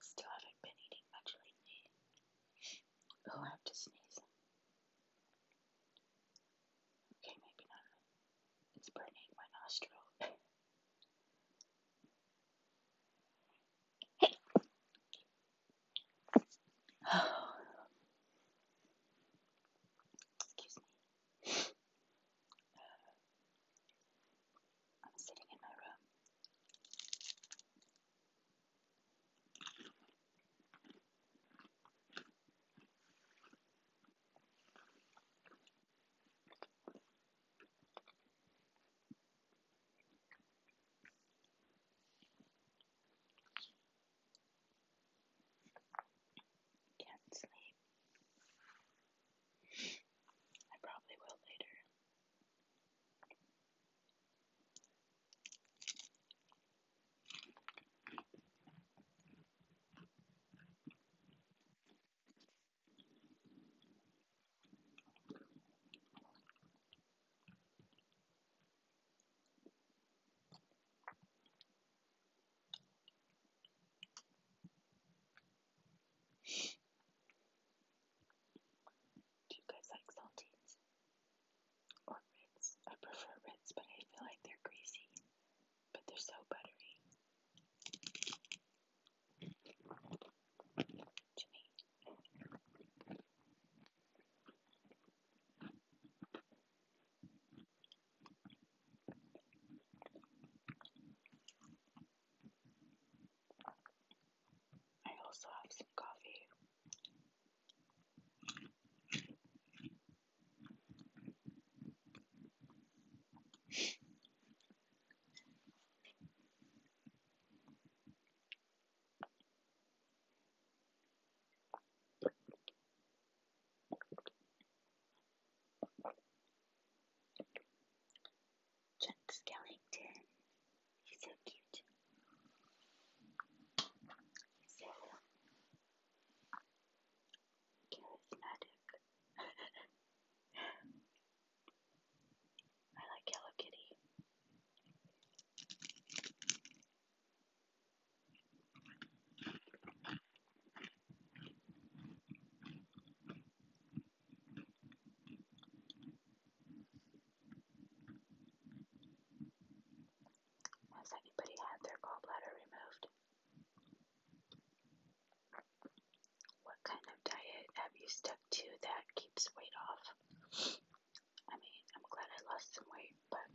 Still haven't been eating much lately. Oh, I have to sneeze. Okay, maybe not. It's burning my nostril. Excuse me. I'm sitting in my room. Can't sleep. I probably will later. Do you guys like saltines? Or Ritz? I prefer Ritz, but I feel like they're greasy, but they're so buttery. To me, I also have some coffee. Chuck Skellington. He's so cute. He's so charismatic. I like Hello Kitty. Has anybody had their gallbladder removed? What kind of diet have you stuck to that keeps weight off? I mean, I'm glad I lost some weight, but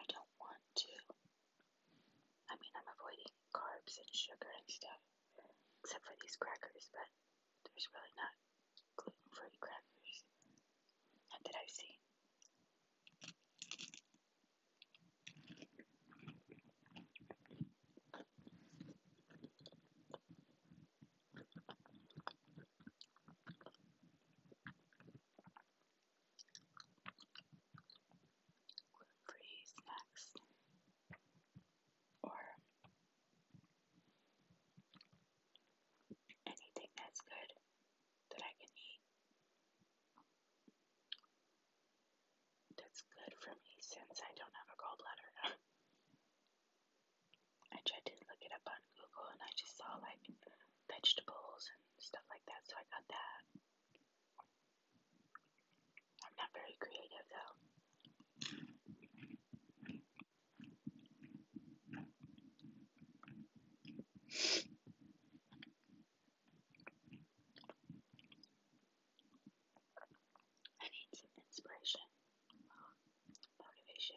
I don't want to. I mean, I'm avoiding carbs and sugar and stuff, except for these crackers, but there's really not gluten free crackers. Not that I've seen. Gluten-free snacks or anything that's good that I can eat. That's good for me since I don't have a gallbladder. I tried to look it up on Google and I just saw like vegetables and stuff like that, so I got that. I'm not very creative though. I need some inspiration or motivation.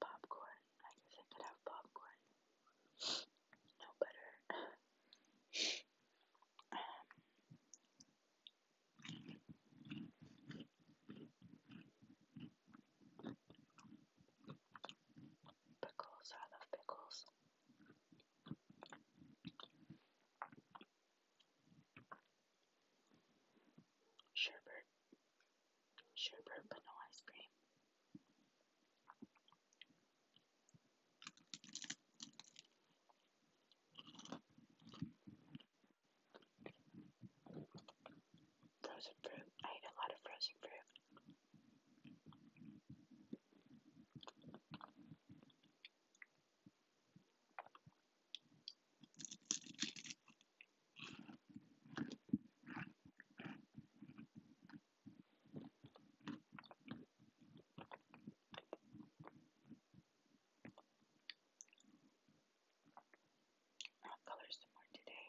popcorn. I guess I could have popcorn. No butter. pickles. I love pickles. Sherbet. Sherbet, but no ice cream. Frozen fruit. I ate a lot of frozen fruit. I'll color some more today.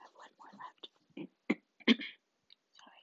I have one more left. Sorry.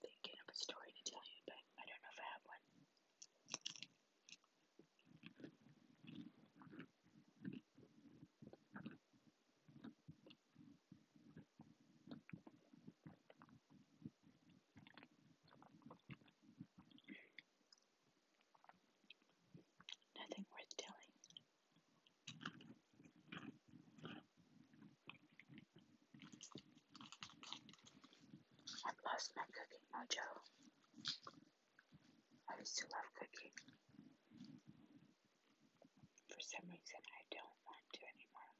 Thinking of a story to tell you, but I don't know if I have one. Nothing worth telling. I've lost my cooking mojo. I used to love cooking. For some reason, I don't want to anymore.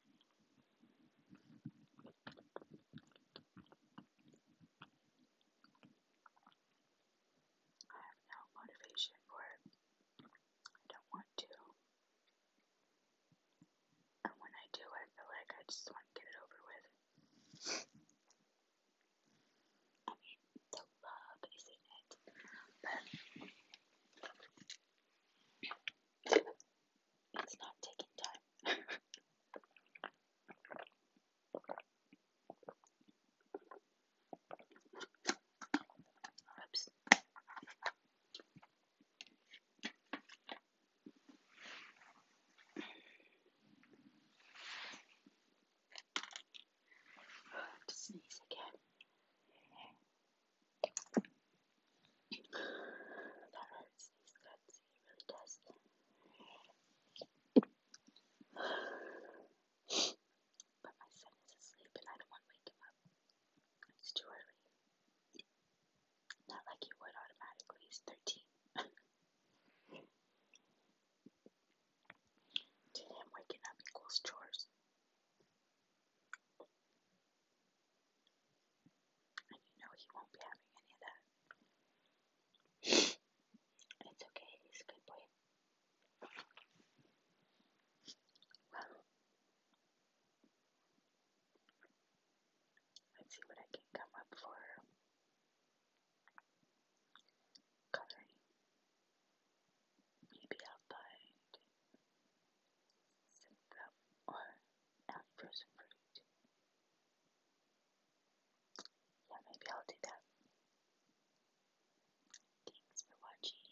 I have no motivation for it. I don't want to. And when I do, I feel like I just want to get it over with. I mean, the love is in it, but it's not taking time. Oops. I have to sneeze again. That hurts. These really does. But my son is asleep and I don't want to wake him up. It's too early. Not like you would automatically, it's 13. to him, waking up equals chores. And you know he won't be having any of that. it's okay, he's a good boy. Well, Let's see what I can come up for Maybe I'll find some gum or frozen fruit. Yeah, maybe I'll do that. Thanks for watching.